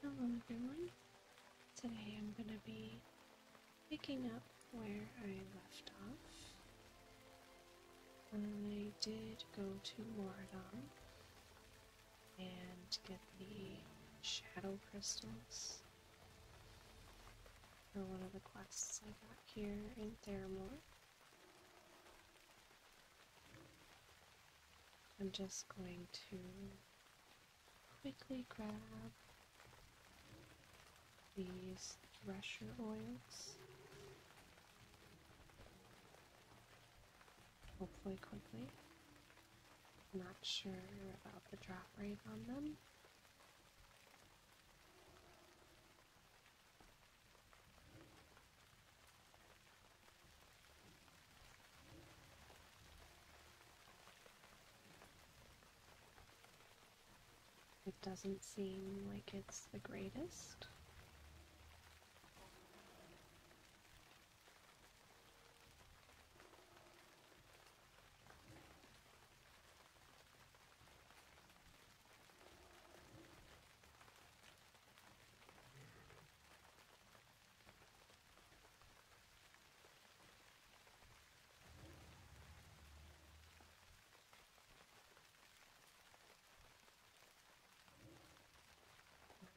Hello everyone! Today I'm going to be picking up where I left off. Um, I did go to Moradon and get the shadow crystals for one of the quests I got here in Theramore. I'm just going to quickly grab these thresher oils. Hopefully, quickly. not sure about the drop rate on them. It doesn't seem like it's the greatest.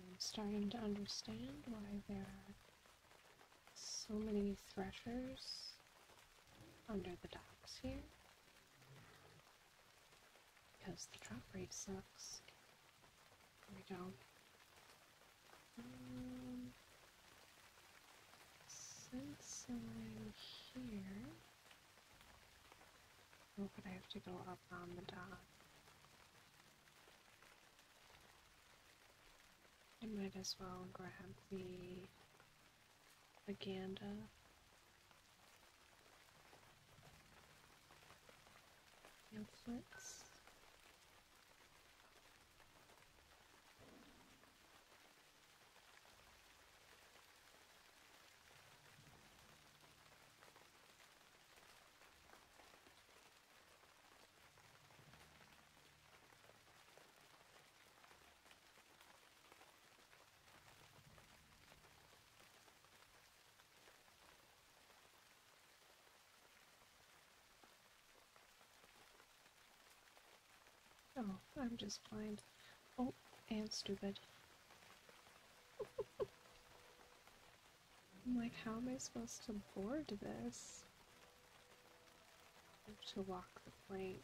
I'm starting to understand why there are so many threshers under the docks here. Because the drop rate sucks. There we go. Um, since I'm here, oh, but I have to go up on the top? I might as well grab the Aganda pamphlets. I'm just blind. Oh, and stupid. I'm like, how am I supposed to board this? to walk the plank.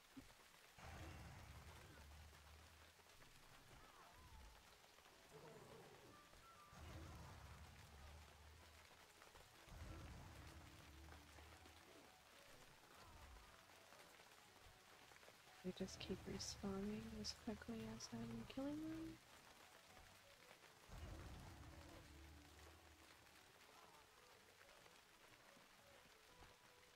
They just keep respawning as quickly as I'm killing them.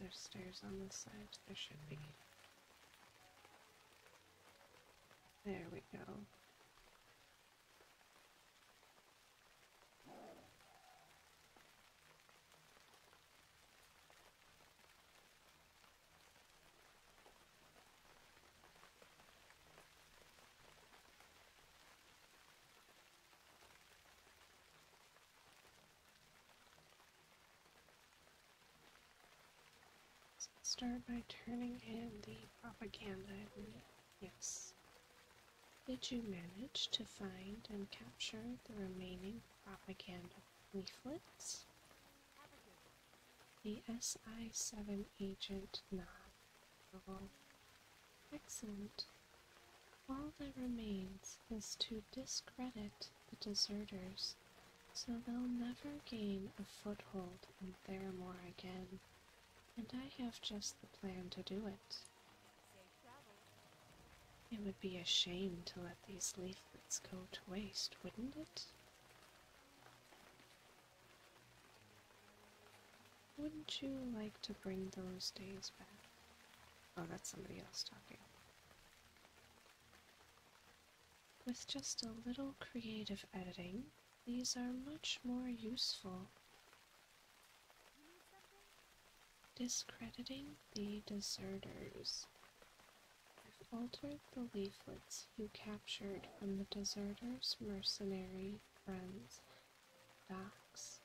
There's stairs on this side? There should be. There we go let's start by turning in the propaganda. Yes. Did you manage to find and capture the remaining propaganda leaflets? The SI7 agent nod. Excellent. All that remains is to discredit the deserters, so they'll never gain a foothold in Theramore again, and I have just the plan to do it. It would be a shame to let these leaflets go to waste, wouldn't it? Wouldn't you like to bring those days back? Oh, that's somebody else talking. With just a little creative editing, these are much more useful. Discrediting the deserters. I've altered the leaflets you captured from the deserters' mercenary friends, Docs.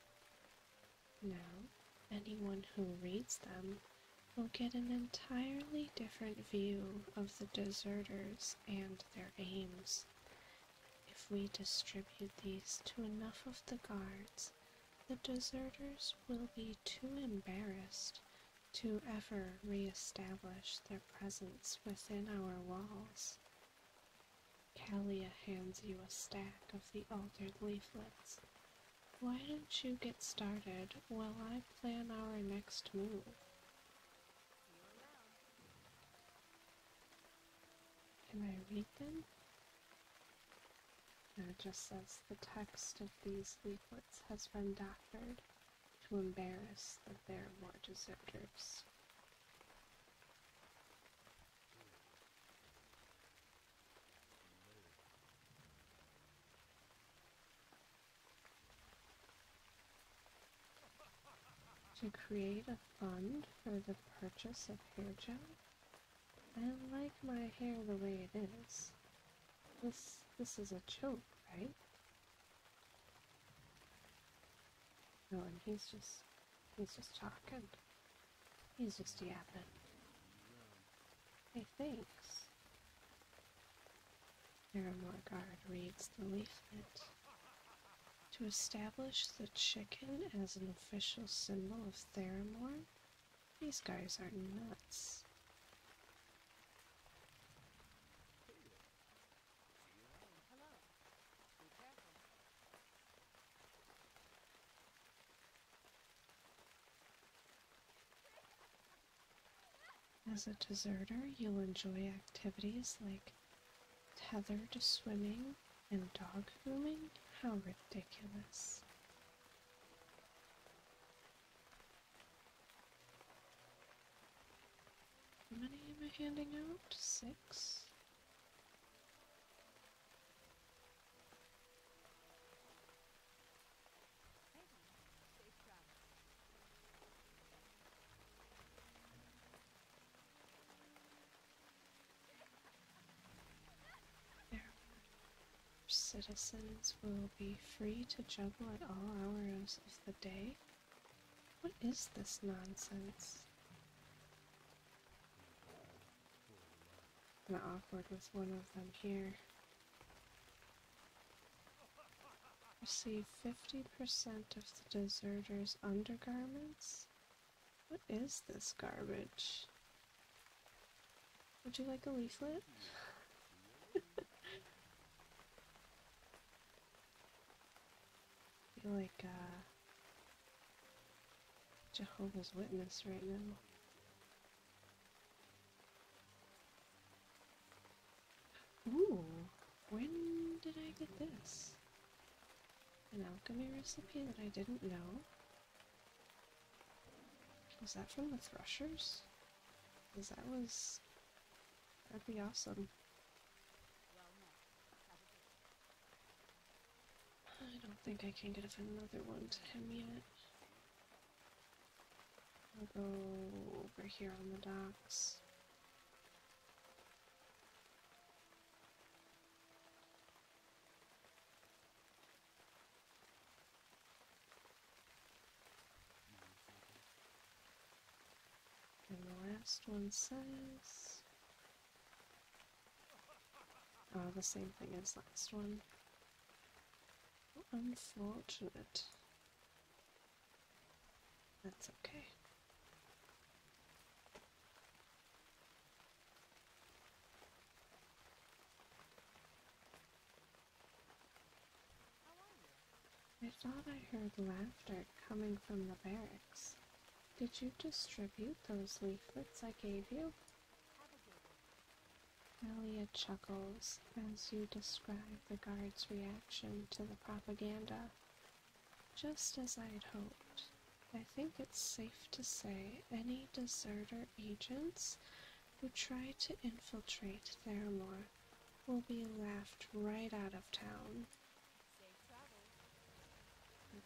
Now, Anyone who reads them will get an entirely different view of the deserters and their aims. If we distribute these to enough of the guards, the deserters will be too embarrassed to ever re-establish their presence within our walls. Kalia hands you a stack of the altered leaflets why don't you get started while I plan our next move? Can I read them? it just says the text of these leaflets has been doctored to embarrass the there are more deserters. To create a fund for the purchase of hair gel, I like my hair the way it is. This this is a joke, right? No, and he's just he's just talking. He's just yapping. Hey, thanks. Paramore Guard reads the leaflet. To establish the chicken as an official symbol of Theramore? These guys are nuts. As a deserter, you'll enjoy activities like tethered swimming and dog grooming. How ridiculous! How many am I handing out? Six? Thank citizens will be free to juggle at all hours of the day. What is this nonsense? I'm awkward with one of them here. Receive 50% of the deserters' undergarments? What is this garbage? Would you like a leaflet? I feel like, uh, Jehovah's Witness right now. Ooh, when did I get this? An alchemy recipe that I didn't know? Was that from the Thrushers? Is that was. That'd be awesome. I don't think I can get another one to him yet go over here on the docks. And the last one says. Oh, the same thing as last one. Unfortunate. That's okay. I thought I heard laughter coming from the barracks. Did you distribute those leaflets I gave you? Malia chuckles as you describe the guard's reaction to the propaganda. Just as I'd hoped. I think it's safe to say any deserter agents who try to infiltrate Theramore will be laughed right out of town.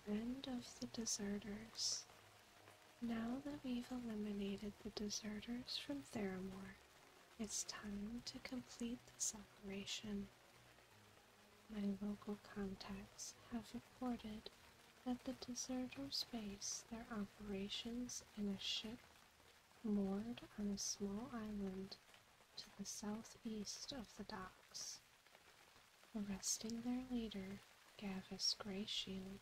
The end of the deserters. Now that we've eliminated the deserters from Theramore, it's time to complete this operation. My local contacts have reported that the deserters base their operations in a ship moored on a small island to the southeast of the docks. Arresting their leader, Gavis Greyshield,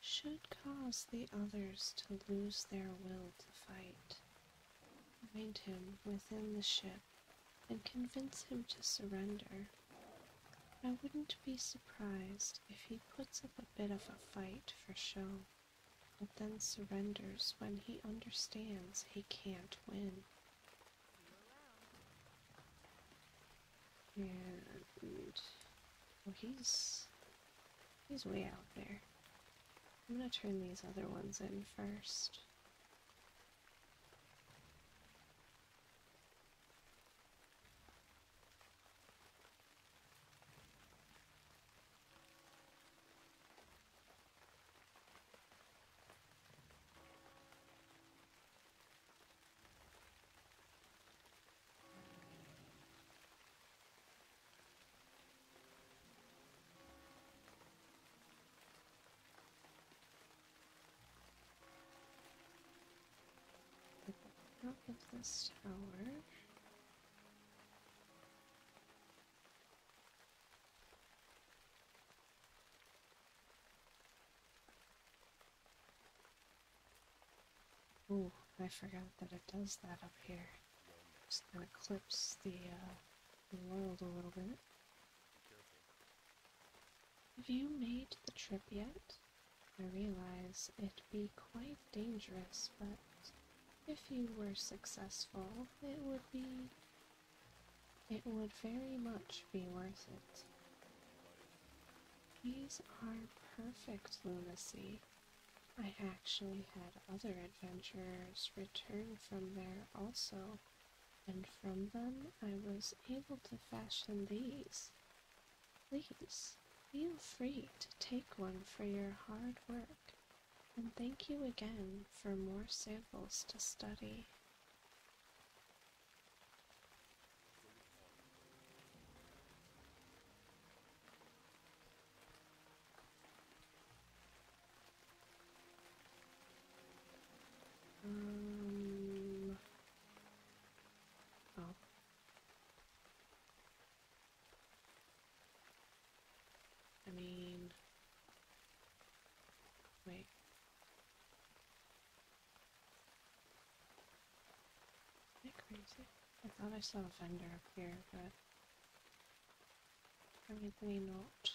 should cause the others to lose their will to fight. Find him within the ship and convince him to surrender. I wouldn't be surprised if he puts up a bit of a fight for show, but then surrenders when he understands he can't win. And he's He's way out there. I'm gonna turn these other ones in first. Out of this tower. Oh, I forgot that it does that up here. Just gonna clips the, uh, the world a little bit. Have you made the trip yet? I realize it'd be quite dangerous, but if you were successful, it would be. It would very much be worth it. These are perfect lunacy. I actually had other adventurers return from there also, and from them I was able to fashion these. Please feel free to take one for your hard work, and thank you again for more samples to study. Um. Oh. I mean. Wait. I crazy? I thought I saw a vendor up here, but I'm apparently not.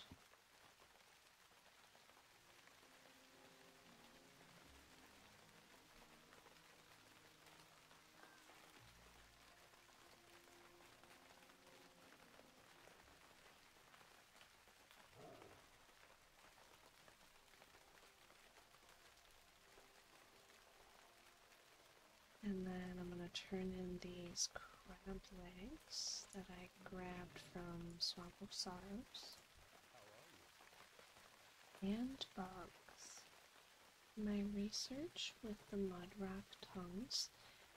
And then I'm going to turn in these crab legs that I grabbed from Swamp of Sorrows. And bugs. My research with the mudrock tongues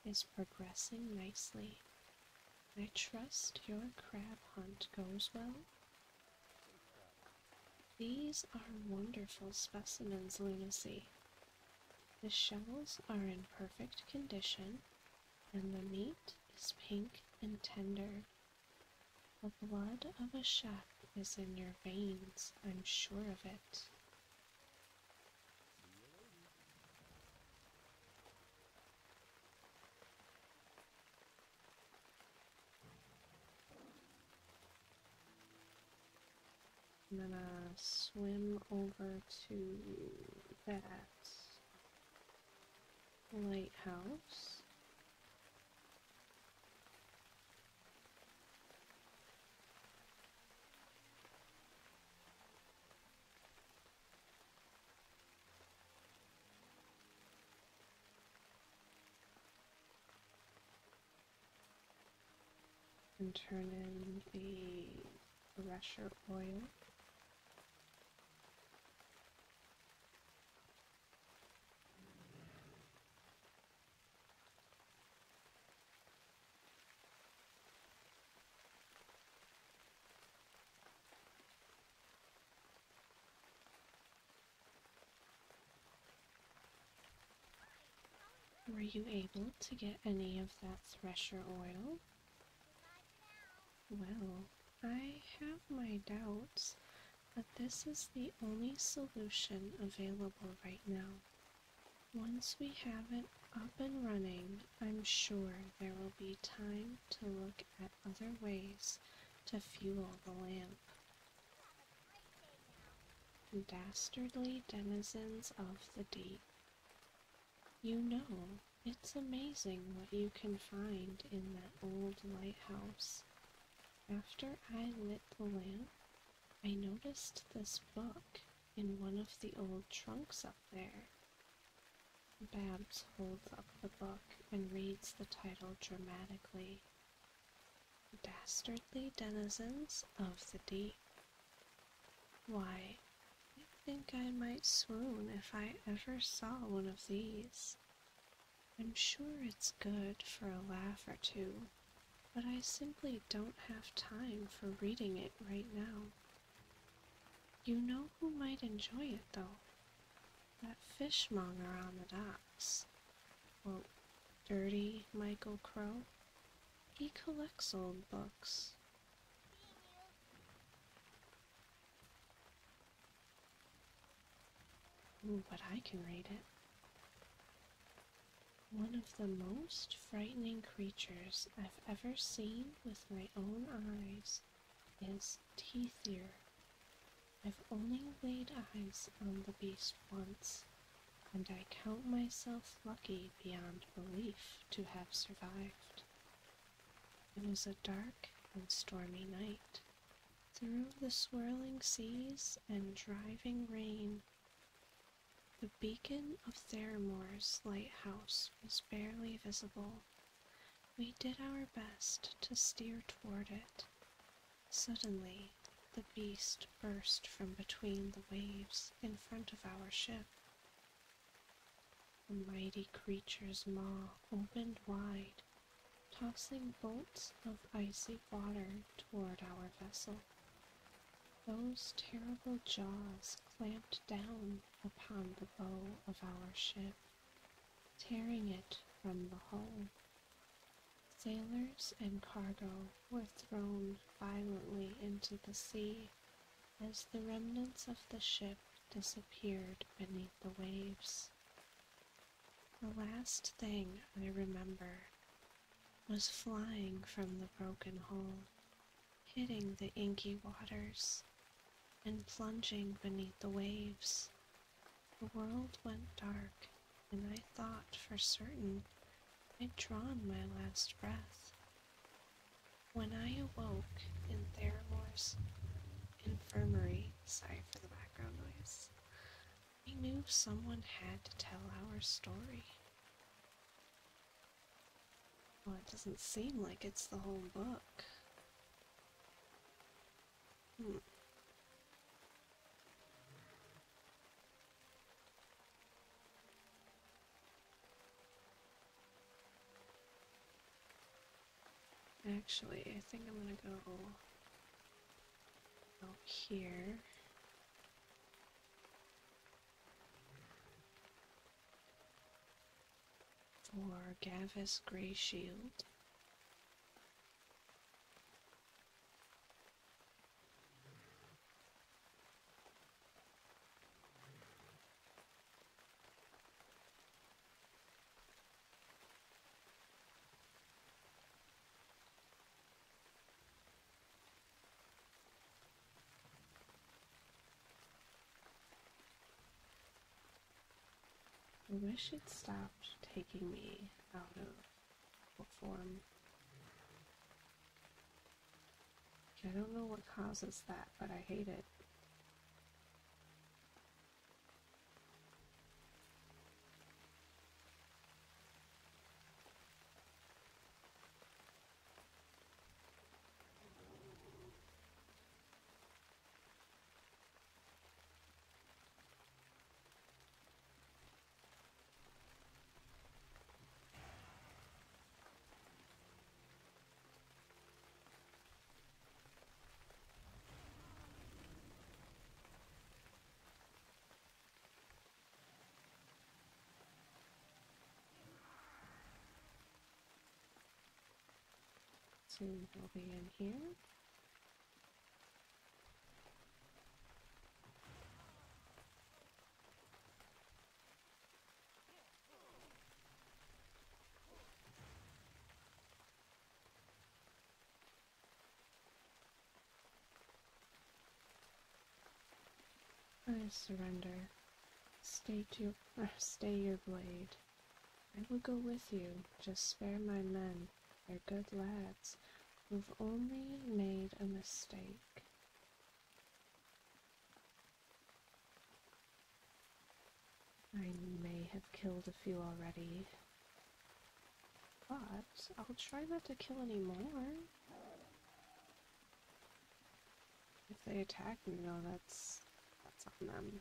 is progressing nicely. I trust your crab hunt goes well. These are wonderful specimens, Lunacy. The shells are in perfect condition, and the meat is pink and tender. The blood of a chef is in your veins, I'm sure of it. I'm gonna swim over to that lighthouse and turn in the pressure oil. Were you able to get any of that thresher oil? Well, I have my doubts, but this is the only solution available right now. Once we have it up and running, I'm sure there will be time to look at other ways to fuel the lamp. Dastardly denizens of the deep. You know, it's amazing what you can find in that old lighthouse. After I lit the lamp, I noticed this book in one of the old trunks up there. Babs holds up the book and reads the title dramatically. Dastardly denizens of the deep. Why, I think I might swoon if I ever saw one of these. I'm sure it's good for a laugh or two, but I simply don't have time for reading it right now. You know who might enjoy it, though? That fishmonger on the docks well, dirty Michael Crow. He collects old books. Ooh, but I can read it. One of the most frightening creatures I've ever seen with my own eyes is Teethier. I've only laid eyes on the beast once, and I count myself lucky beyond belief to have survived. It was a dark and stormy night. Through the swirling seas and driving rain, the beacon of Theremore's lighthouse was barely visible. We did our best to steer toward it, Suddenly, the beast burst from between the waves in front of our ship. The mighty creature's maw opened wide, tossing bolts of icy water toward our vessel. Those terrible jaws clamped down upon the bow of our ship, tearing it from the hull. Sailors and cargo were thrown violently into the sea as the remnants of the ship disappeared beneath the waves. The last thing I remember was flying from the broken hull, hitting the inky waters, and plunging beneath the waves. The world went dark and I thought for certain I'd drawn my last breath. When I awoke in Theramore's infirmary, sorry for the background noise, I knew someone had to tell our story. Well, it doesn't seem like it's the whole book. Hmm. Actually, I think I'm gonna go out here. For Gavis Grey Shield. I wish it stopped taking me out of I don't know what causes that, but I hate it. Soon we'll be in here. I surrender. Stay to stay your blade. I will go with you. Just spare my men. They're good lads. We've only made a mistake. I may have killed a few already, but I'll try not to kill any more. If they attack me, though, that's that's on them.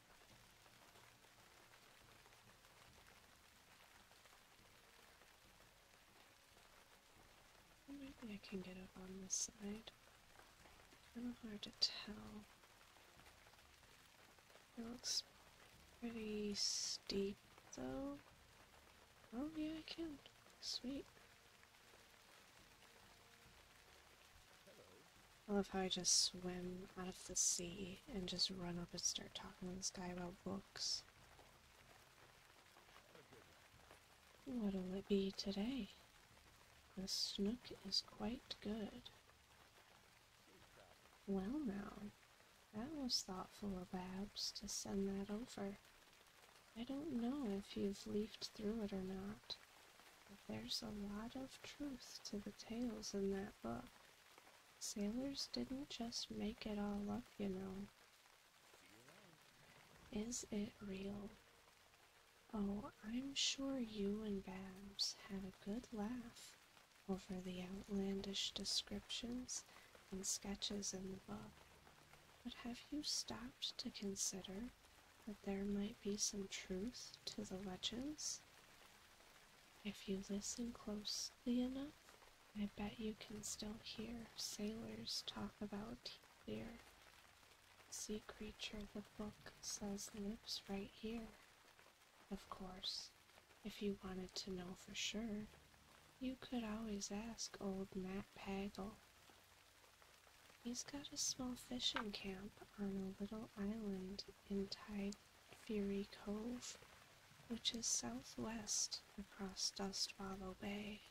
Maybe I can get up on this side. Kind of hard to tell. It looks pretty steep though. Oh yeah, I can. Sweet. I love how I just swim out of the sea and just run up and start talking to this guy about books. What'll it be today? The snook is quite good. Well now, that was thoughtful of Babs to send that over. I don't know if you've leafed through it or not, there's a lot of truth to the tales in that book. Sailors didn't just make it all up, you know. Is it real? Oh, I'm sure you and Babs had a good laugh over the outlandish descriptions and sketches in the book. But have you stopped to consider that there might be some truth to the legends. If you listen closely enough, I bet you can still hear sailors talk about here. Sea creature, the book says lives right here. Of course, if you wanted to know for sure, you could always ask old Matt Pagel. He's got a small fishing camp on a little island in Tide Fury Cove, which is southwest across Dust Bay.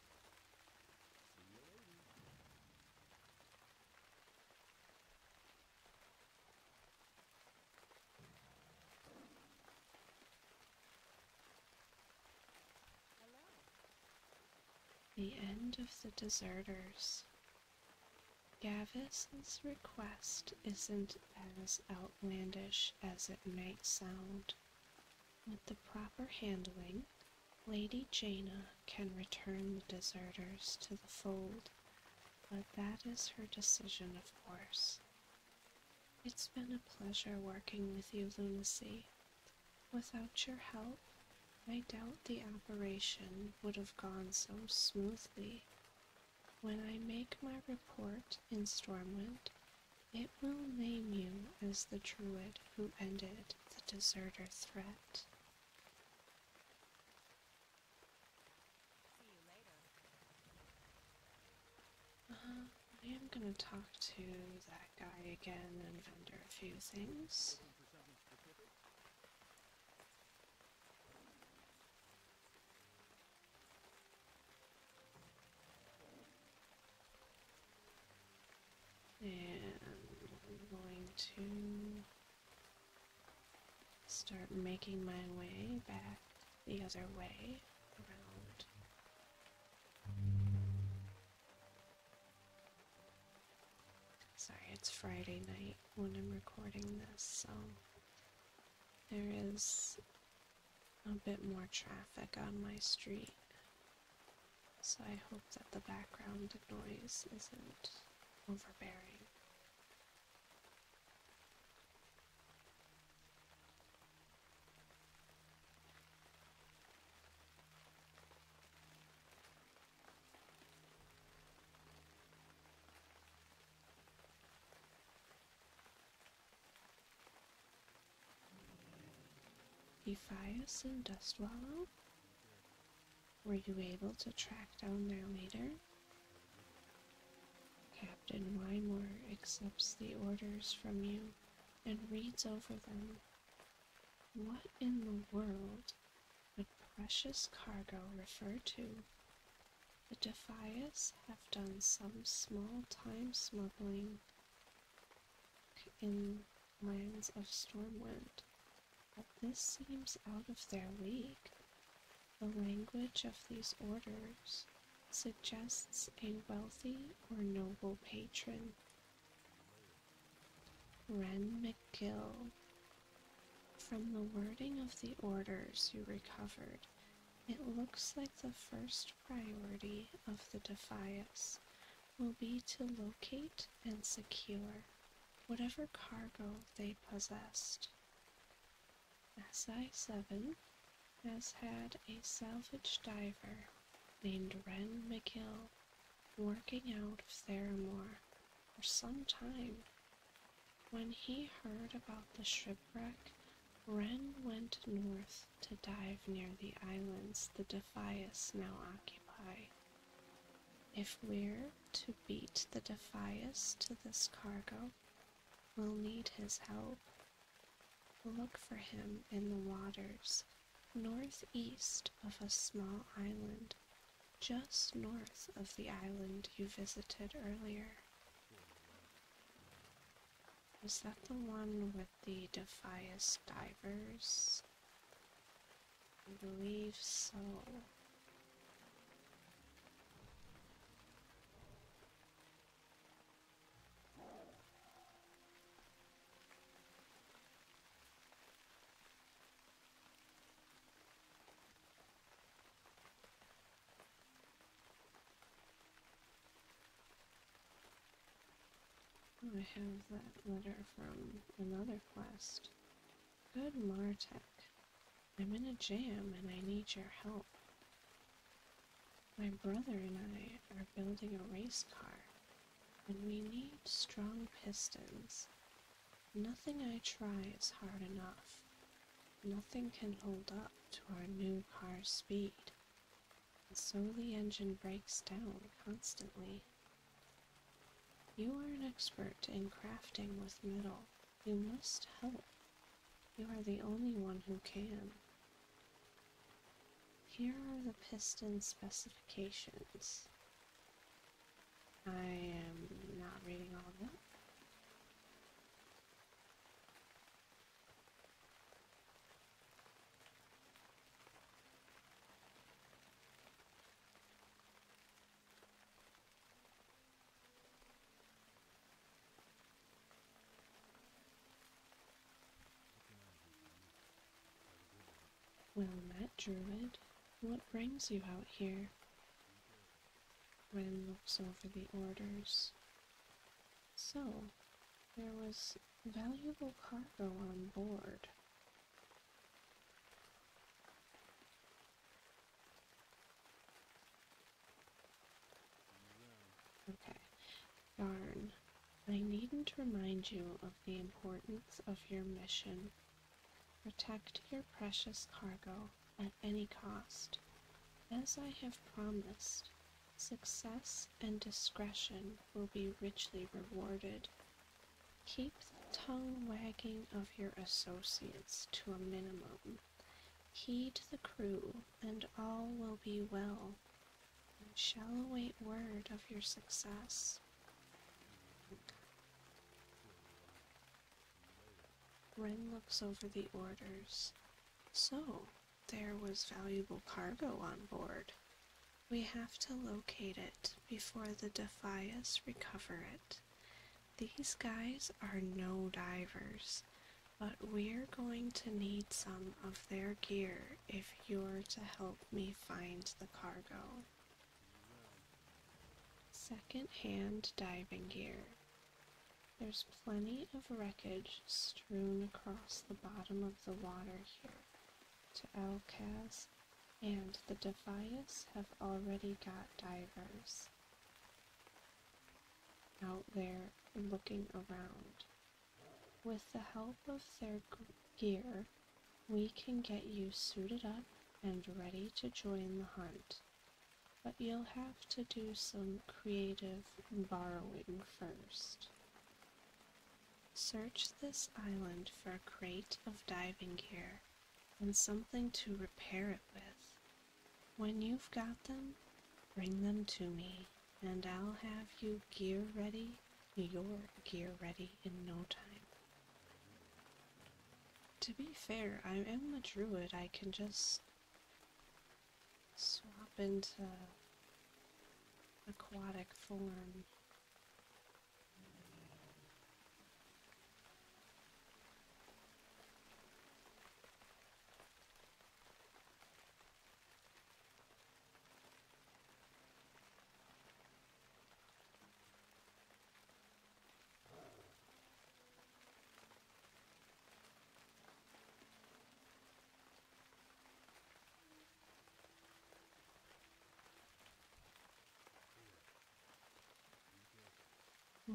The end of the deserters. Gavis's request isn't as outlandish as it might sound. With the proper handling, Lady Jaina can return the deserters to the fold, but that is her decision, of course. It's been a pleasure working with you, Lunacy. Without your help, I doubt the operation would have gone so smoothly. When I make my report in Stormwind, it will name you as the druid who ended the deserter threat. See you uh-huh. I am gonna talk to that guy again and vendor a few things. And I'm going to start making my way back the other way around Sorry, it's Friday night when I'm recording this, so there is a bit more traffic on my street. So I hope that the background noise isn't overbearing. Ephias and in Dust Wallow? Were you able to track down their leader? Captain Wymore accepts the orders from you and reads over them. What in the world with precious cargo referred to. The Defias have done some small time smuggling in lands of Stormwind, but this seems out of their league. The language of these orders suggests a wealthy or noble patron. Ren McGill from the wording of the orders you recovered, it looks like the first priority of the Defias will be to locate and secure whatever cargo they possessed. SI 7 has had a salvage diver named Ren McGill working out of Theramore for some time when he heard about the shipwreck, Wren went north to dive near the islands the Defias now occupy. If we're to beat the Defias to this cargo, we'll need his help. Look for him in the waters northeast of a small island just north of the island you visited earlier. Was that the one with the Defias divers? I believe so. Oh, I have that letter from another quest. Good Martek, I'm in a jam and I need your help. My brother and I are building a race car, and we need strong pistons Nothing I try is hard enough. Nothing can hold up to our new car's speed, and so the engine breaks down constantly. You are an expert in crafting with metal. You must help. You are the only one who can. Here are the piston specifications. I am not reading all of that. Well met, Druid. What brings you out here? Ren looks over the orders. So, there was valuable cargo on board. Okay, darn. I needn't remind you of the importance of your mission. Protect your precious cargo at any cost. As I have promised, success and discretion will be richly rewarded. Keep the tongue wagging of your associates to a minimum. Heed the crew, and all will be well. I shall await word of your success. Ren looks over the orders. So, there was valuable cargo on board. We have to locate it before the Defias recover it. These guys are no divers, but we're going to need some of their gear if you're to help me find the cargo. Second-hand diving gear. There's plenty of wreckage strewn across the bottom of the water here. To Elcas and the Defias have already got divers out there looking around. With the help of their gear, we can get you suited up and ready to join the hunt but you'll have to do some creative borrowing first. Search this island for a crate of diving gear and something to repair it with. When you've got them, bring them to me, and I'll have you gear ready, your gear ready in no time. To be fair, I am a druid. I can just swap into aquatic form.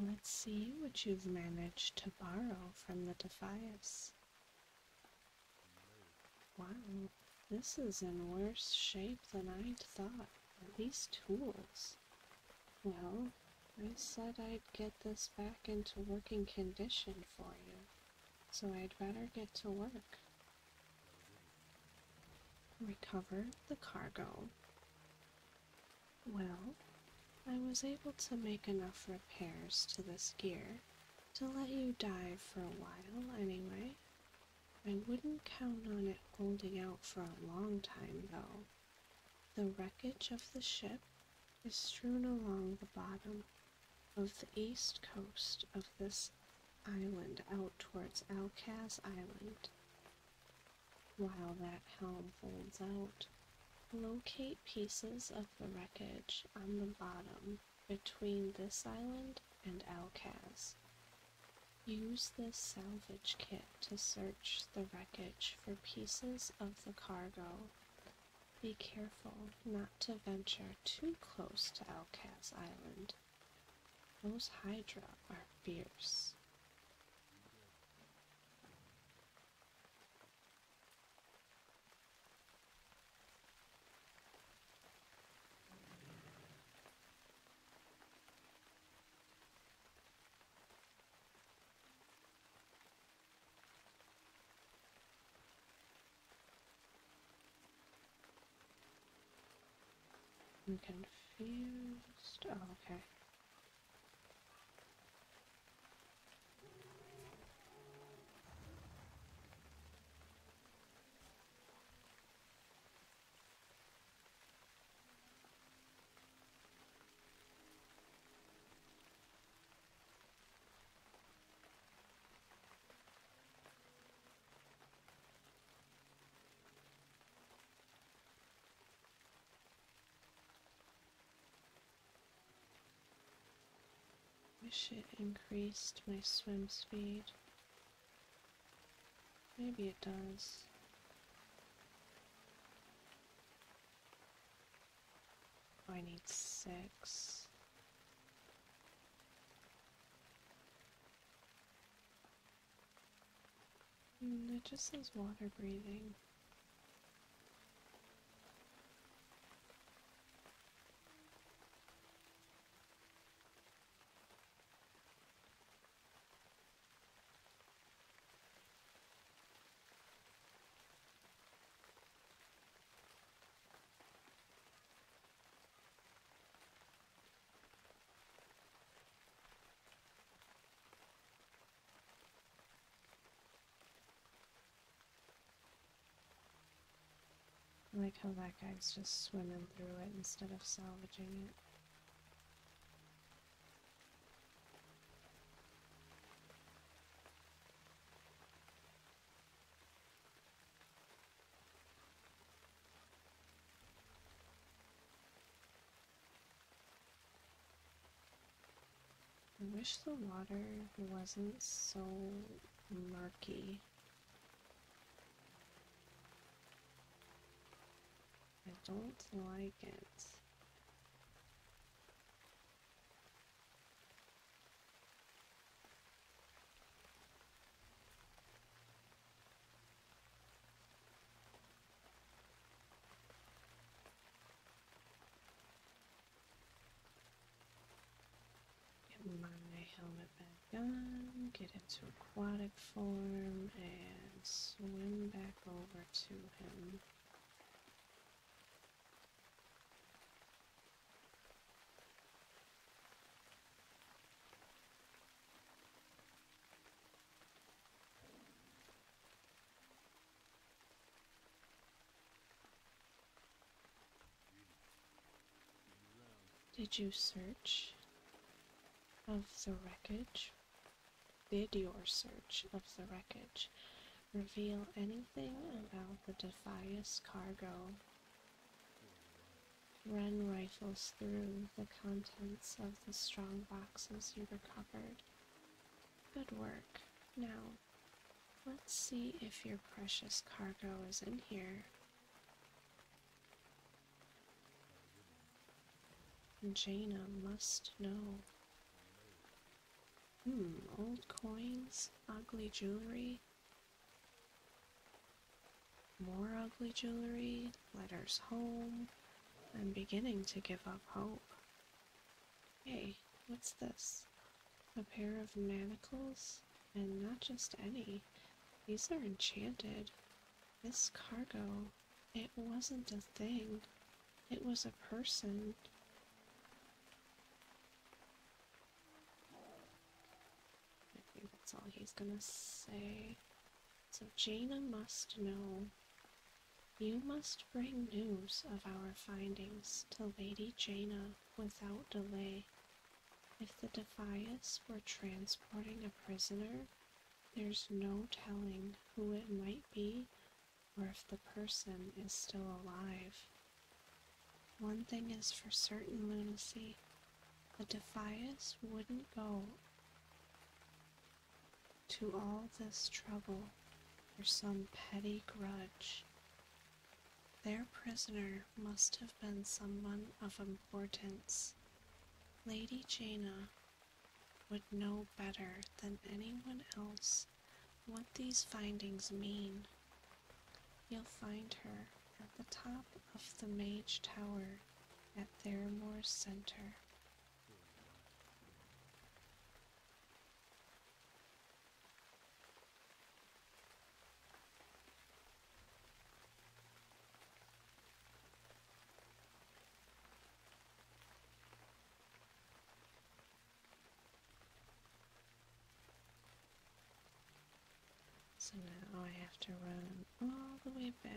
Let's see what you've managed to borrow from the Defias. Wow, this is in worse shape than I'd thought. At least tools. No, I said I'd get this back into working condition for you, so I'd better get to work. Recover the cargo. Well, I was able to make enough repairs to this gear to let you dive for a while, anyway. I wouldn't count on it holding out for a long time, though. The wreckage of the ship is strewn along the bottom of the east coast of this island out towards Alcaz Island. While that helm folds out, locate pieces of the wreckage on the bottom between this island and Alcaz Use this salvage kit to search the wreckage for pieces of the cargo. Be careful not to venture too close to Alcaz Island. Those Hydra are fierce. I'm confused. Oh, okay. Wish it increased my swim speed. Maybe it does. I need six. Hmm, it just says water breathing. I like how that guy's just swimming through it instead of salvaging it. I wish the water wasn't so murky. I don't like it. Get my helmet back on, get into aquatic form and swim back over to him. Did you search of the wreckage did your search of the wreckage reveal anything about the Defias cargo. Wren rifles through the contents of the strong boxes he recovered. Good work. Now, let's see if your precious cargo is in here. Jaina must know. Hmm, old coins, ugly jewelry, more ugly jewelry, letters home. I'm beginning to give up hope. Hey, what's this? A pair of manacles? And not just any. These are enchanted. This cargo it wasn't a thing, it was a person. I think that's all he's gonna say. So Jaina must know. You must bring news of our findings to Lady Jaina without delay. If the Defias were transporting a prisoner, there's no telling who it might be or if the person is still alive. One thing is for certain, Lunacy the Defias wouldn't go to all this trouble for some petty grudge. Their prisoner must have been someone of importance. Lady Jana would know better than anyone else what these findings mean. You'll find her at the top of the Mage Tower at Theramore Center. So now I have to run all the way back.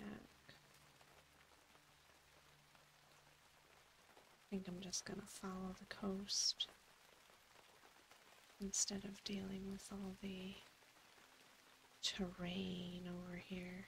I think I'm just gonna follow the coast instead of dealing with all the terrain over here.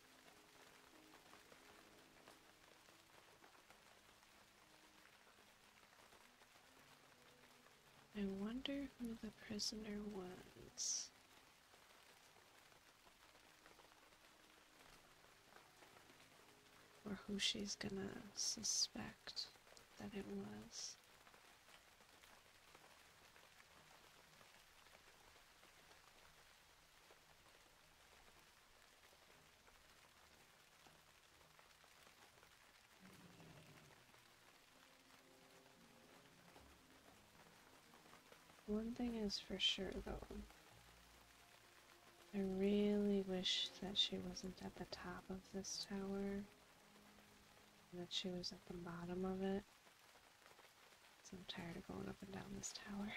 I wonder who the prisoner was. Or who she's gonna suspect that it was. One thing is for sure though. I really wish that she wasn't at the top of this tower, that she was at the bottom of it. I'm tired of going up and down this tower.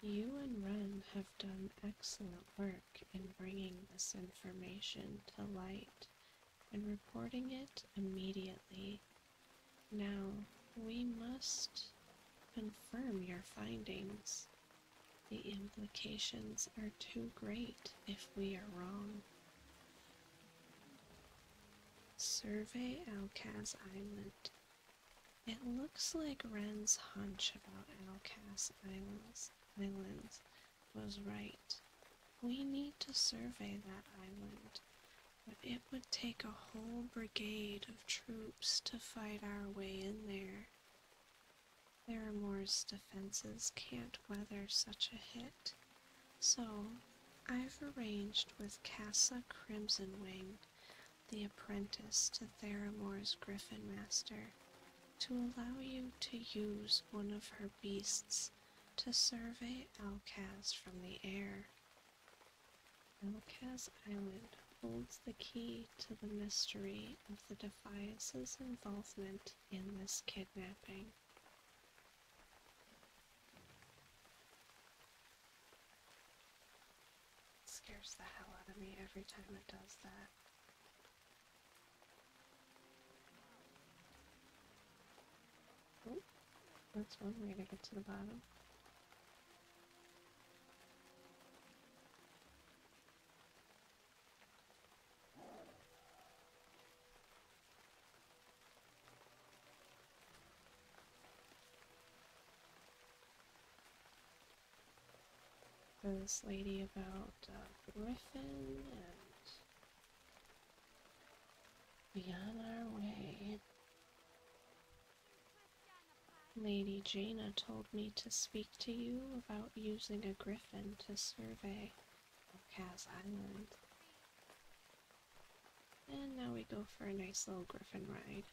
You and Ren have done excellent work in bringing this information to light and reporting it immediately. Now, we must confirm your findings the implications are too great if we are wrong. Survey Alcaz Island. It looks like Wren's hunch about Alcaz Islands, Islands was right. We need to survey that island, but it would take a whole brigade of troops to fight our way in there. Theramore's defenses can't weather such a hit, so I've arranged with Cassa Crimsonwing, the apprentice to Theramore's Griffin Master, to allow you to use one of her beasts to survey Alcaz from the air. Alcaz Island holds the key to the mystery of the Defiance's involvement in this kidnapping. It the hell out of me every time it does that. that's one way to get to the bottom this lady about uh, Griffin and be on our way. Lady Jaina told me to speak to you about using a griffin to survey Cas Island. And now we go for a nice little griffin ride.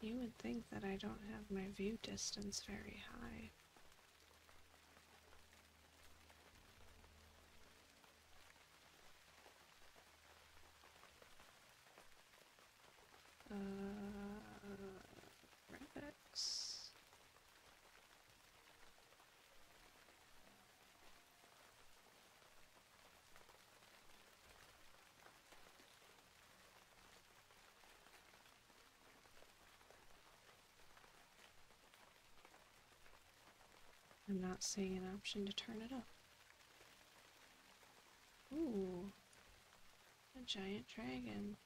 You would think that I don't have my view distance very high. Uh, Revex. I'm not seeing an option to turn it up. Ooh, a giant dragon.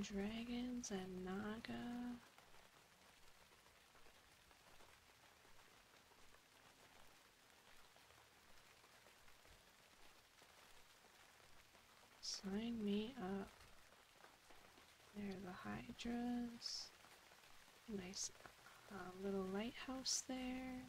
Dragons and Naga. Sign me up. There are the hydras. Nice uh, little lighthouse there.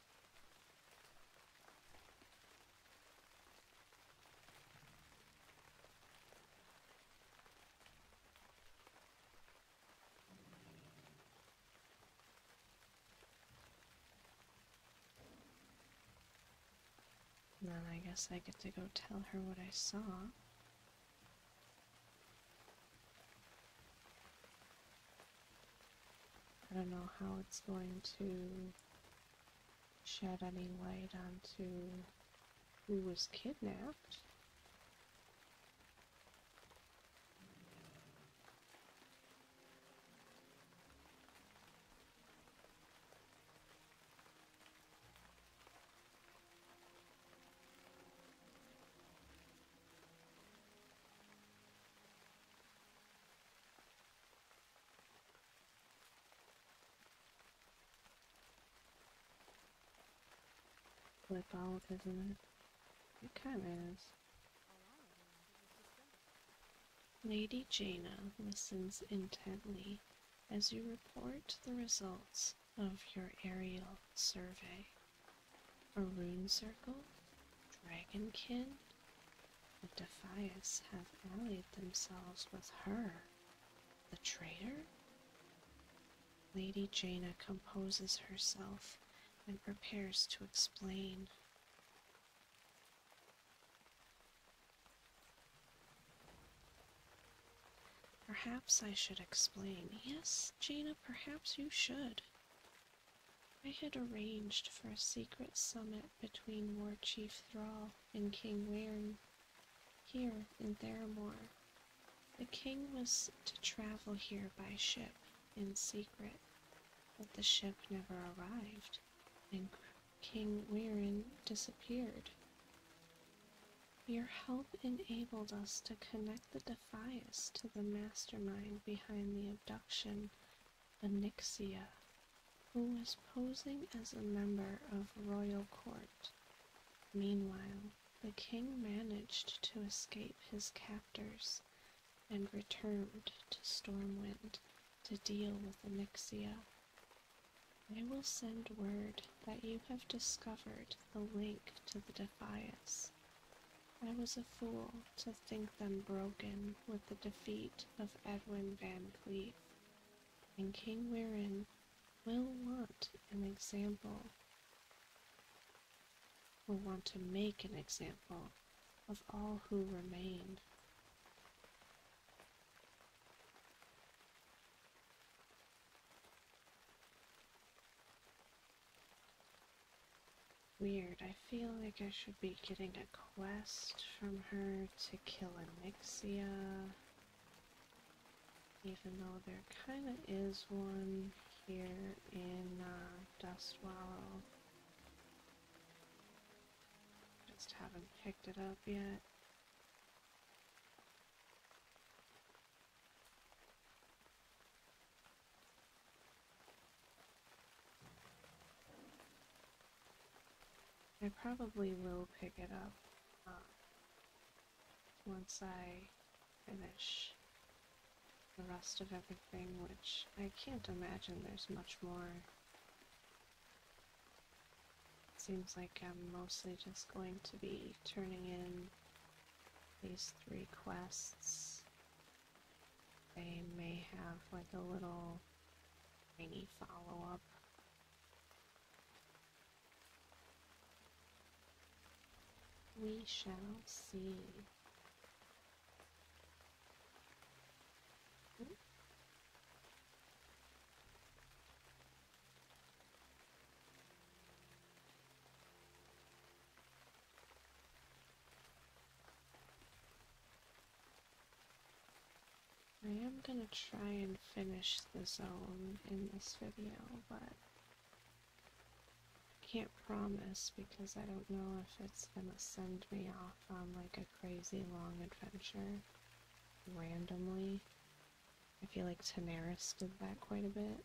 then I guess I get to go tell her what I saw. I don't know how it's going to shed any light onto who was kidnapped. Diabolic, isn't it? It kind of is. Lady Jaina listens intently as you report the results of your aerial survey. A rune circle, dragonkin, the Defias have allied themselves with her, the traitor? Lady Jana composes herself and prepares to explain. Perhaps I should explain. Yes, Jana, perhaps you should. I had arranged for a secret summit between War Chief Thrall and King Wearn here in Theramore. The king was to travel here by ship in secret, but the ship never arrived, and King Wearn disappeared. Your help enabled us to connect the Defias to the mastermind behind the abduction Anixia, who was posing as a member of royal court. Meanwhile, the king managed to escape his captors and returned to Stormwind to deal with Anixia. I will send word that you have discovered the link to the Defias. I was a fool to think them broken with the defeat of Edwin Van Cleef, and King Warren will want an example, will want to make an example of all who remained. Weird, I feel like I should be getting a quest from her to kill Anixia. Even though there kinda is one here in uh, Dustwallow. Just haven't picked it up yet. I probably will pick it up um, once I finish the rest of everything, which I can't imagine there's much more. It seems like I'm mostly just going to be turning in these three quests they may have like a little tiny follow-up we shall see hmm? I am gonna try and finish the zone in this video, but I can't promise because I don't know if it's gonna send me off on like a crazy long adventure randomly. I feel like Tanaris did that quite a bit.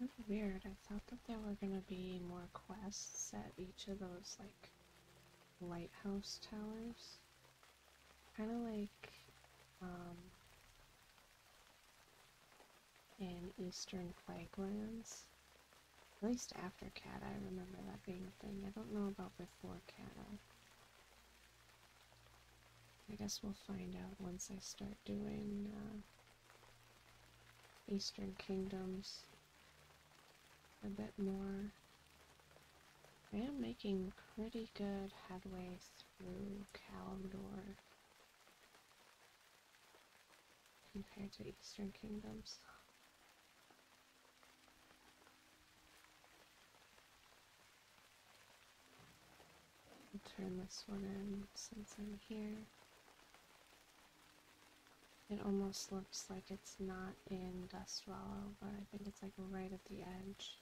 That's weird. I thought that there were gonna be more quests at each of those, like, lighthouse towers. Kinda like, um, in Eastern Plaguelands. At least after Cat, I remember that being a thing. I don't know about before Cat. I guess we'll find out once I start doing uh, Eastern Kingdoms a bit more. I am making pretty good headway through Kalimdor compared to Eastern Kingdoms turn this one in since I'm here. It almost looks like it's not in Dust Swallow, but I think it's like right at the edge.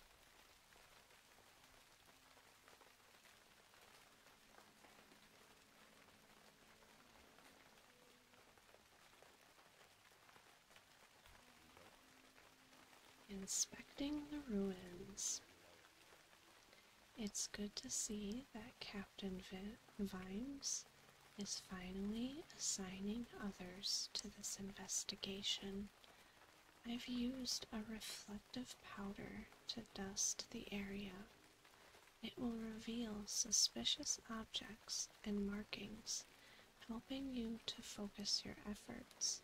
Inspecting the ruins. It's good to see that Captain Vines is finally assigning others to this investigation. I've used a reflective powder to dust the area. It will reveal suspicious objects and markings, helping you to focus your efforts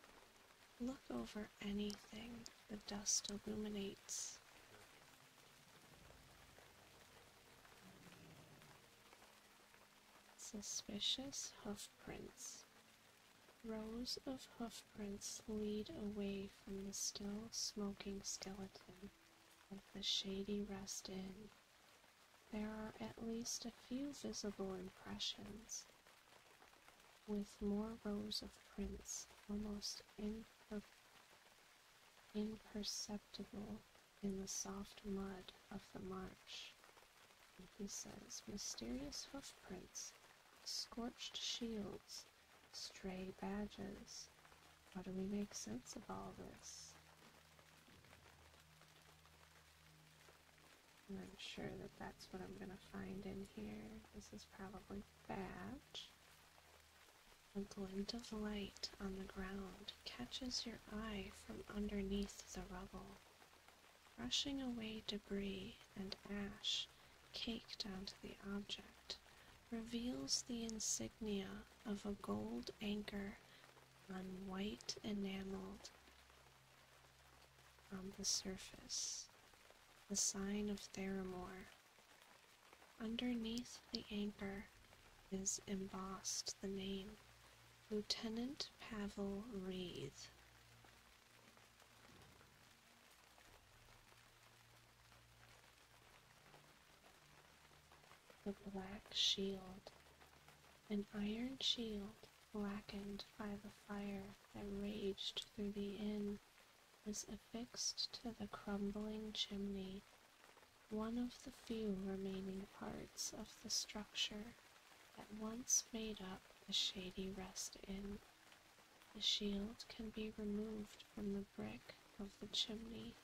Look over anything the dust illuminates. Suspicious hoofprints. Rows of hoofprints lead away from the still smoking skeleton of the shady rest inn. There are at least a few visible impressions with more rows of prints, almost imperceptible in the soft mud of the march, he says, mysterious hoofprints, scorched shields, stray badges. How do we make sense of all this? I'm sure that that's what I'm gonna find in here. This is probably that. A glint of light on the ground catches your eye from underneath the rubble, brushing away debris and ash caked onto the object. Reveals the insignia of a gold anchor on white enameled on the surface, the sign of Theramore. Underneath the anchor is embossed the name Lieutenant Pavel Wreath. The black shield, an iron shield blackened by the fire that raged through the inn, was affixed to the crumbling chimney, one of the few remaining parts of the structure that once made up the shady rest inn. The shield can be removed from the brick of the chimney.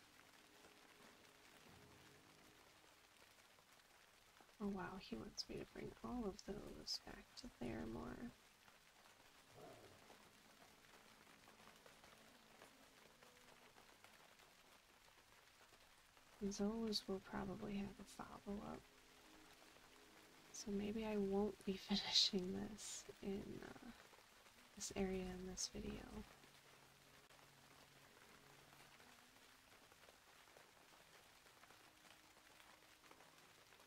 Oh wow, he wants me to bring all of those back to Theramore. As always, will probably have a follow up. So maybe I won't be finishing this in uh, this area in this video.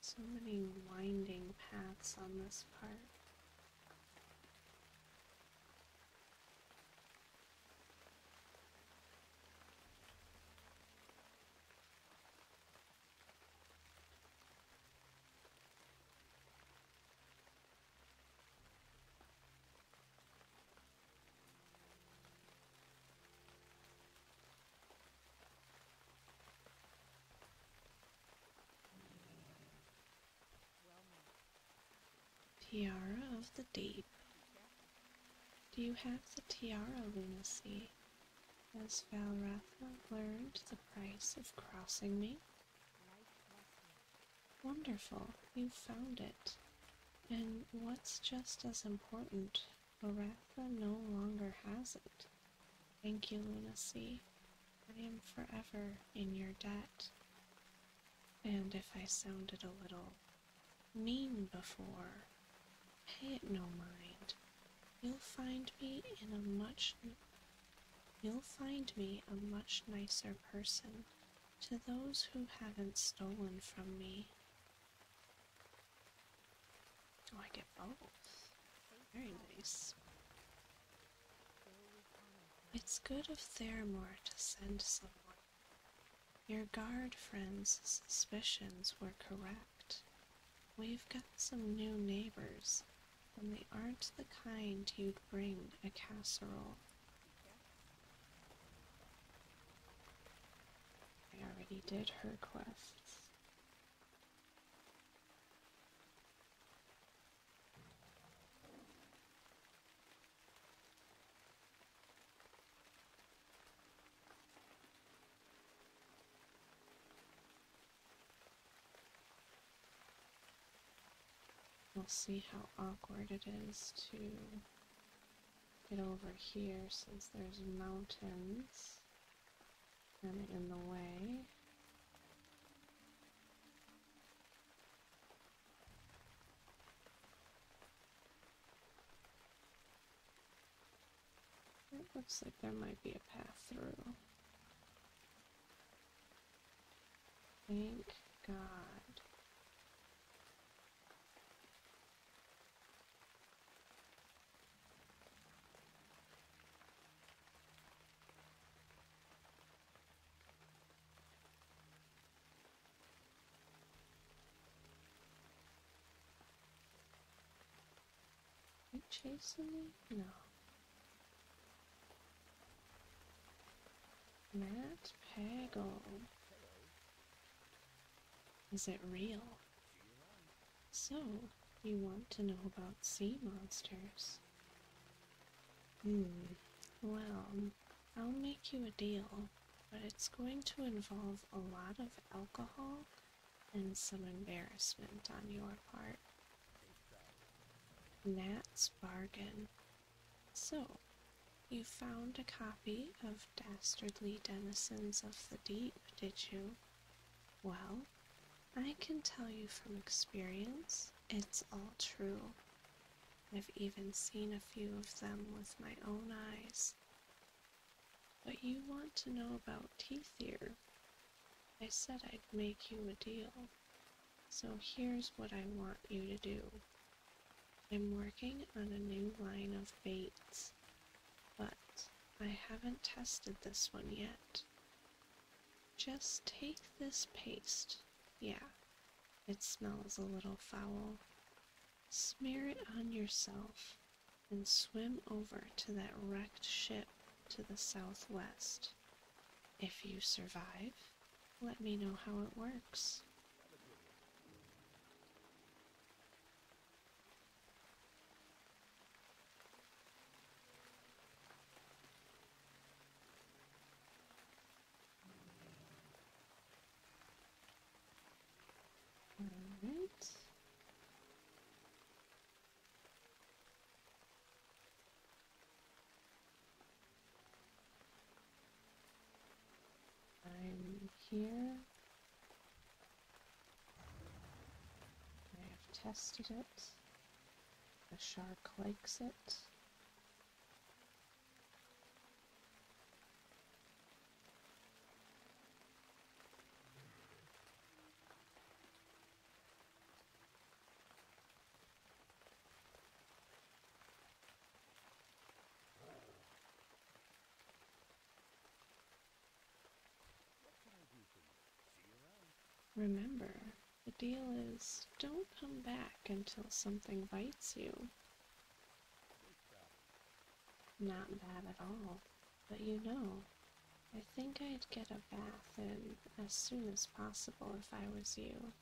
So many winding paths on this part. Tiara of the Deep. Do you have the Tiara Lunacy? as Valratha learned the price of crossing me. Wonderful, you found it. And what's just as important, Valratha no longer has it. Thank you, Lunacy. I am forever in your debt. And if I sounded a little mean before, pay it no mind. You'll find me in a much You'll find me a much nicer person to those who haven't stolen from me. Oh, I get both. Very nice. It's good of Theramore to send someone. Your guard friend's suspicions were correct. We've got some new neighbors, and they aren't the kind you'd bring a casserole. I already did her quests. We'll see how awkward it is to get over here since there's mountains kind in the way. It looks like there might be a path through. Thank God. You chasing me? No. Matt Pagel. Is it real? So, you want to know about sea monsters? Hmm. Well, I'll make you a deal, but it's going to involve a lot of alcohol and some embarrassment on your part. Nat's Bargain. So, you found a copy of Dastardly Denizens of the Deep, did you? Well, I can tell you from experience, it's all true. I've even seen a few of them with my own eyes. But you want to know about Teeth here. I said I'd make you a deal. So here's what I want you to do. I'm working on a new line of baits, but I haven't tested this one yet. Just take this paste. Yeah, it smells a little foul. Smear it on yourself and swim over to that wrecked ship to the southwest. If you survive, let me know how it works. All right. I'm here. I have tested it. The shark likes it. Remember, the deal is don't come back until something bites you. Not bad at all, but you know, I think I'd get a bath in as soon as possible if I was you.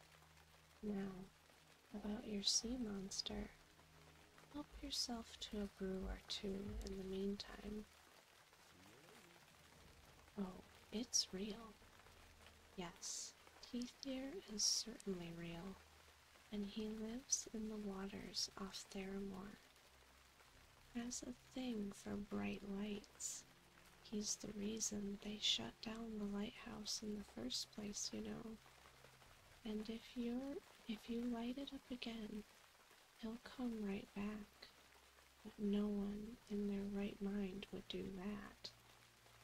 Now, about your sea monster. Help yourself to a brew or two in the meantime. Oh, it's real. Yes, Teethier is certainly real, and he lives in the waters off Theramore. Has a thing for bright lights, He's the reason they shut down the lighthouse in the first place, you know. And if you're if you light it up again, he'll come right back. But no one in their right mind would do that.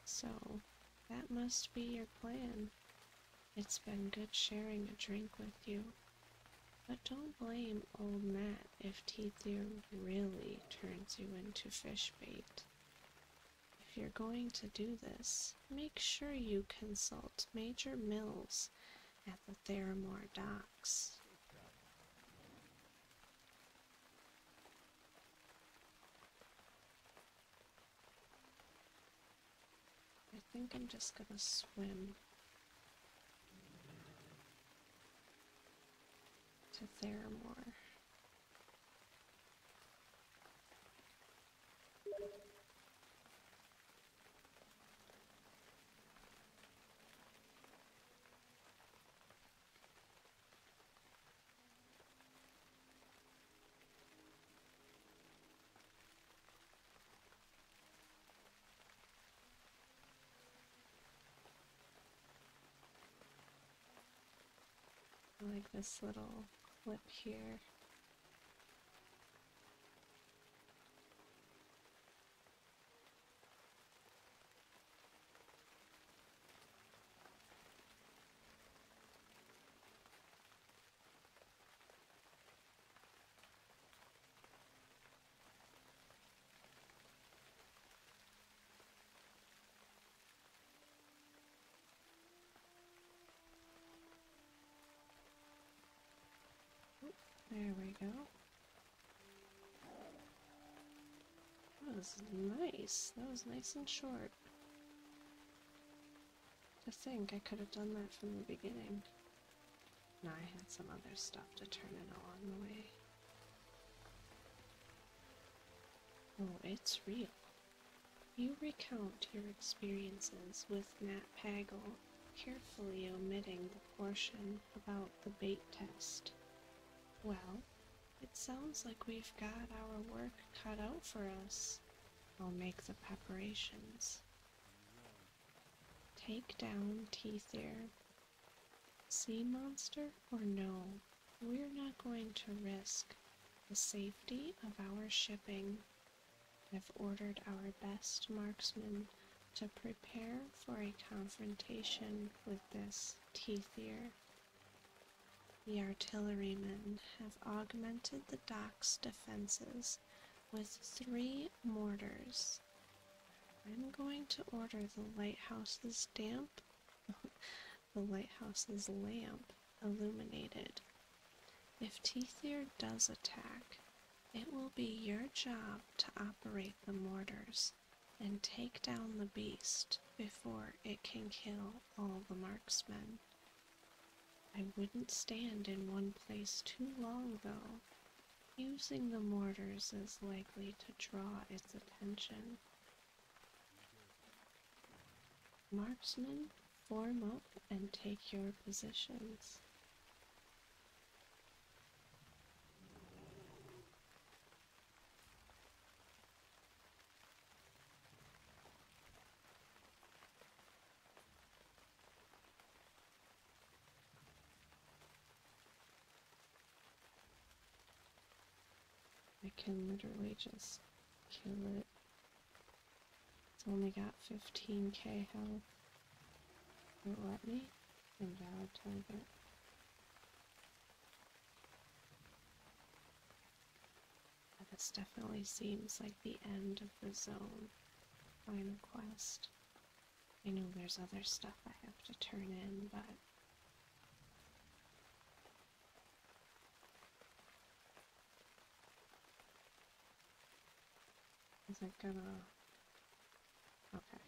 So, that must be your plan. It's been good sharing a drink with you. But don't blame old Matt if teeth deer really turns you into fish bait. If you're going to do this, make sure you consult Major Mills at the Theramore docks. I think I'm just gonna swim to Theramore. I like this little clip here. There we go. Oh, that was nice. That was nice and short. To think I could have done that from the beginning. Now I had some other stuff to turn in along the way. Oh, it's real. You recount your experiences with Nat Pagel, carefully omitting the portion about the bait test. Well, it sounds like we've got our work cut out for us. I'll make the preparations. Take down Teethair sea monster or no, we're not going to risk the safety of our shipping. I've ordered our best marksmen to prepare for a confrontation with this teethier. The artillerymen have augmented the dock's defenses with three mortars I'm going to order the lighthouse's damp, the lighthouse's lamp illuminated. If Teethier does attack, it will be your job to operate the mortars and take down the beast before it can kill all the marksmen. I wouldn't stand in one place too long, though, Using the mortars is likely to draw its attention. Marksmen, form up and take your positions. I can literally just kill it. It's only got 15k health. It let me? target. This definitely seems like the end of the zone. Final quest. I know there's other stuff I have to turn in, but is it gonna okay?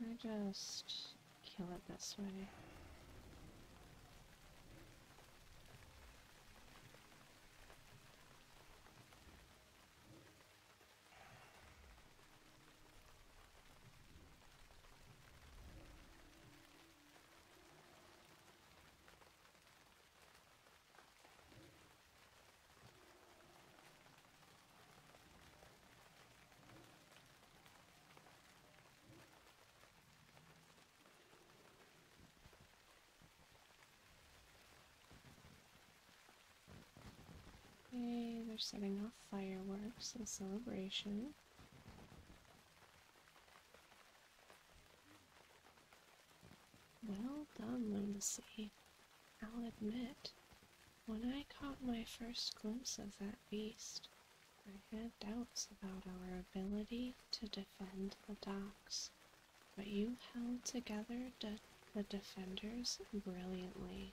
I just kill it this way. Okay, they're setting off fireworks A celebration. Well done, Lunacy. I'll admit, when I caught my first glimpse of that beast, I had doubts about our ability to defend the docks, but you held together the defenders brilliantly.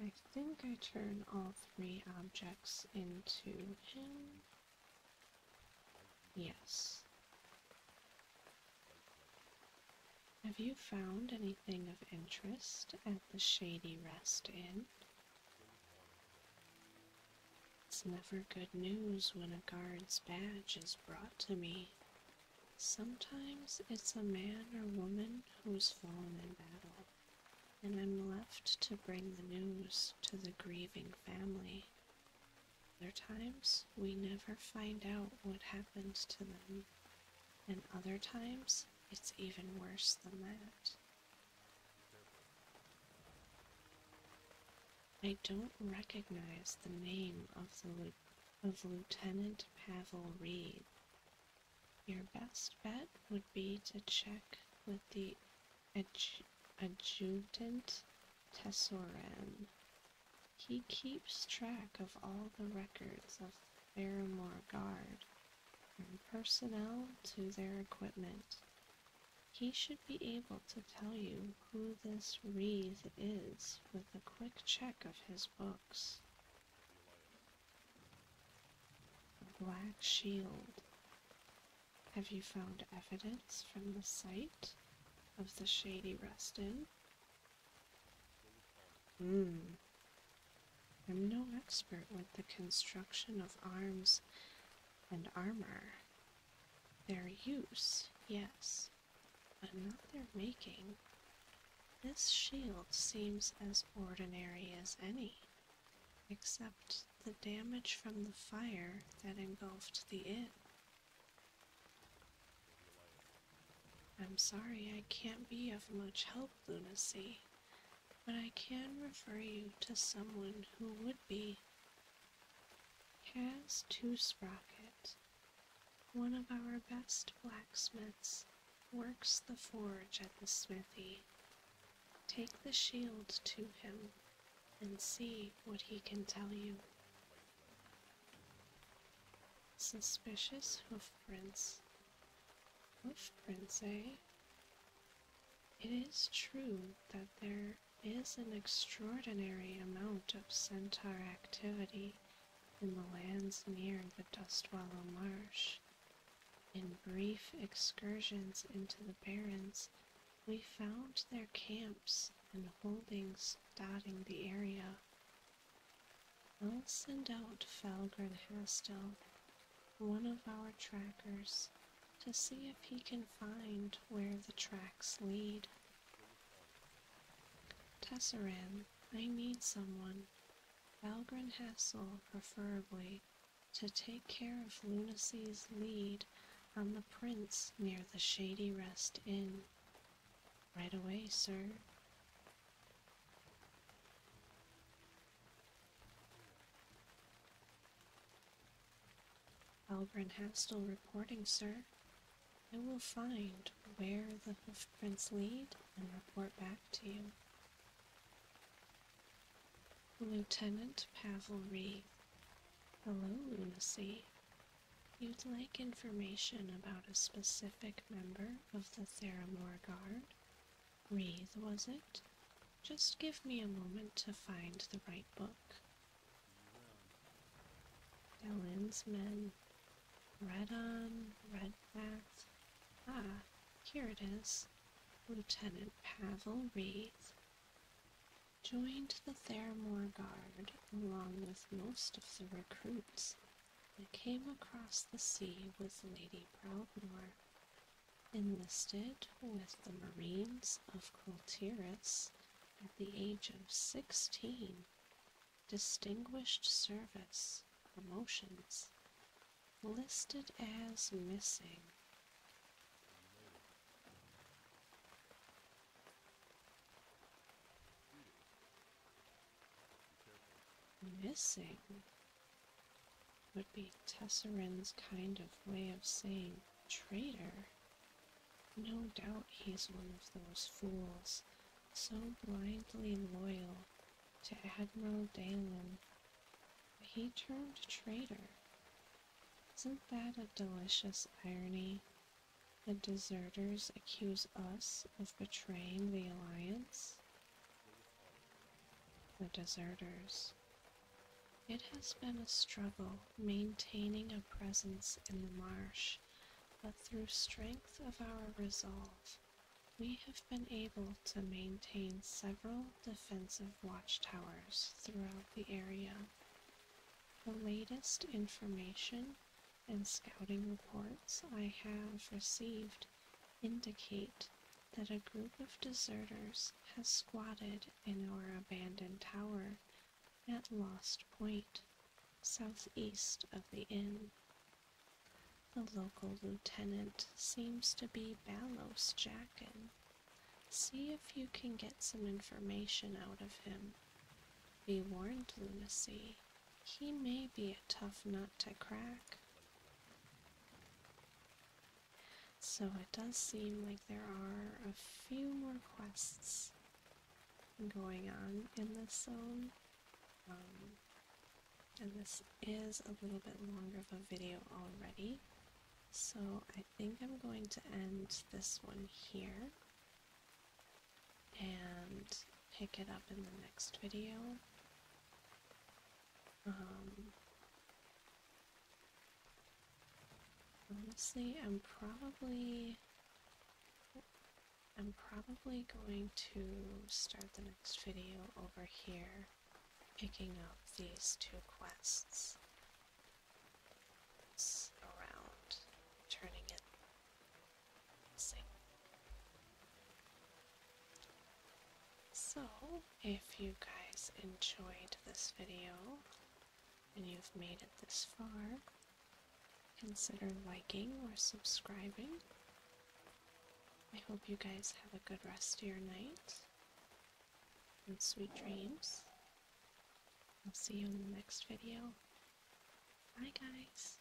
I think I turn all three objects into him. Yes. Have you found anything of interest at the Shady Rest Inn? It's never good news when a guard's badge is brought to me. Sometimes it's a man or woman who's fallen in battle, and I'm left to bring the news to the grieving family. Other times, we never find out what happened to them and other times it's even worse than that. I don't recognize the name of the of Lieutenant Pavel Reed. Your best bet would be to check with the adjutant Tessoran he keeps track of all the records of the Barrymore Guard, from personnel to their equipment. He should be able to tell you who this Reed is with a quick check of his books. Black Shield. Have you found evidence from the site of the shady Rustin Hmm. I'm no expert with the construction of arms and armor. Their use, yes, but not their making. This shield seems as ordinary as any, except the damage from the fire that engulfed the inn. I'm sorry I can't be of much help, Lunacy, but I can refer you to someone who would be. Has Two Sprocket, one of our best blacksmiths, works the forge at the smithy. Take the shield to him and see what he can tell you. Suspicious hoofprints. Hoofprints, eh? It is true that there is an extraordinary amount of centaur activity in the lands near the Dustwallow Marsh. In brief excursions into the barrens, we found their camps and holdings dotting the area, I'll send out to Falgren one of our trackers, to see if he can find where the tracks lead. Tesseran, I need someone, Valgren Hassel preferably, to take care of Lunacy's lead on the prints near the Shady Rest Inn. Right away, sir has still reporting, sir. I will find where the hoofprints lead and report back to you. Lieutenant Pavel Hello, Lunacy. You'd like information about a specific member of the Theramore Guard. Wreath, was it? Just give me a moment to find the right book. Ellen's men. Redon, Redbath. Ah, here it is. Lieutenant Pavel Wreath joined the Theramore Guard along with most of the recruits that came across the sea with Lady Proudmore, enlisted with the Marines of Coulteris at the age of sixteen, distinguished service, promotions, listed as missing. Missing would be Tesseran's kind of way of saying traitor. No doubt he's one of those fools, so blindly loyal to Admiral Dalen. He turned traitor. Isn't that a delicious irony? The deserters accuse us of betraying the Alliance? The deserters. It has been a struggle maintaining a presence in the marsh, but through strength of our resolve, we have been able to maintain several defensive watchtowers throughout the area. The latest information and scouting reports I have received indicate that a group of deserters has squatted in our abandoned tower at Lost Point, southeast of the inn. The local lieutenant seems to be Balos Jackin. See if you can get some information out of him. Be warned, Lucy. He may be a tough nut to crack. So it does seem like there are a few more quests going on in this zone. Um, and this is a little bit longer of a video already. So I think I'm going to end this one here and pick it up in the next video. Um, honestly, I'm probably I'm probably going to start the next video over here, picking up these two quests. around, turning it so, if you guys enjoyed this video and you've made it this far, consider liking or subscribing. I hope you guys have a good rest of your night and sweet dreams. I'll see you in the next video. Bye, guys.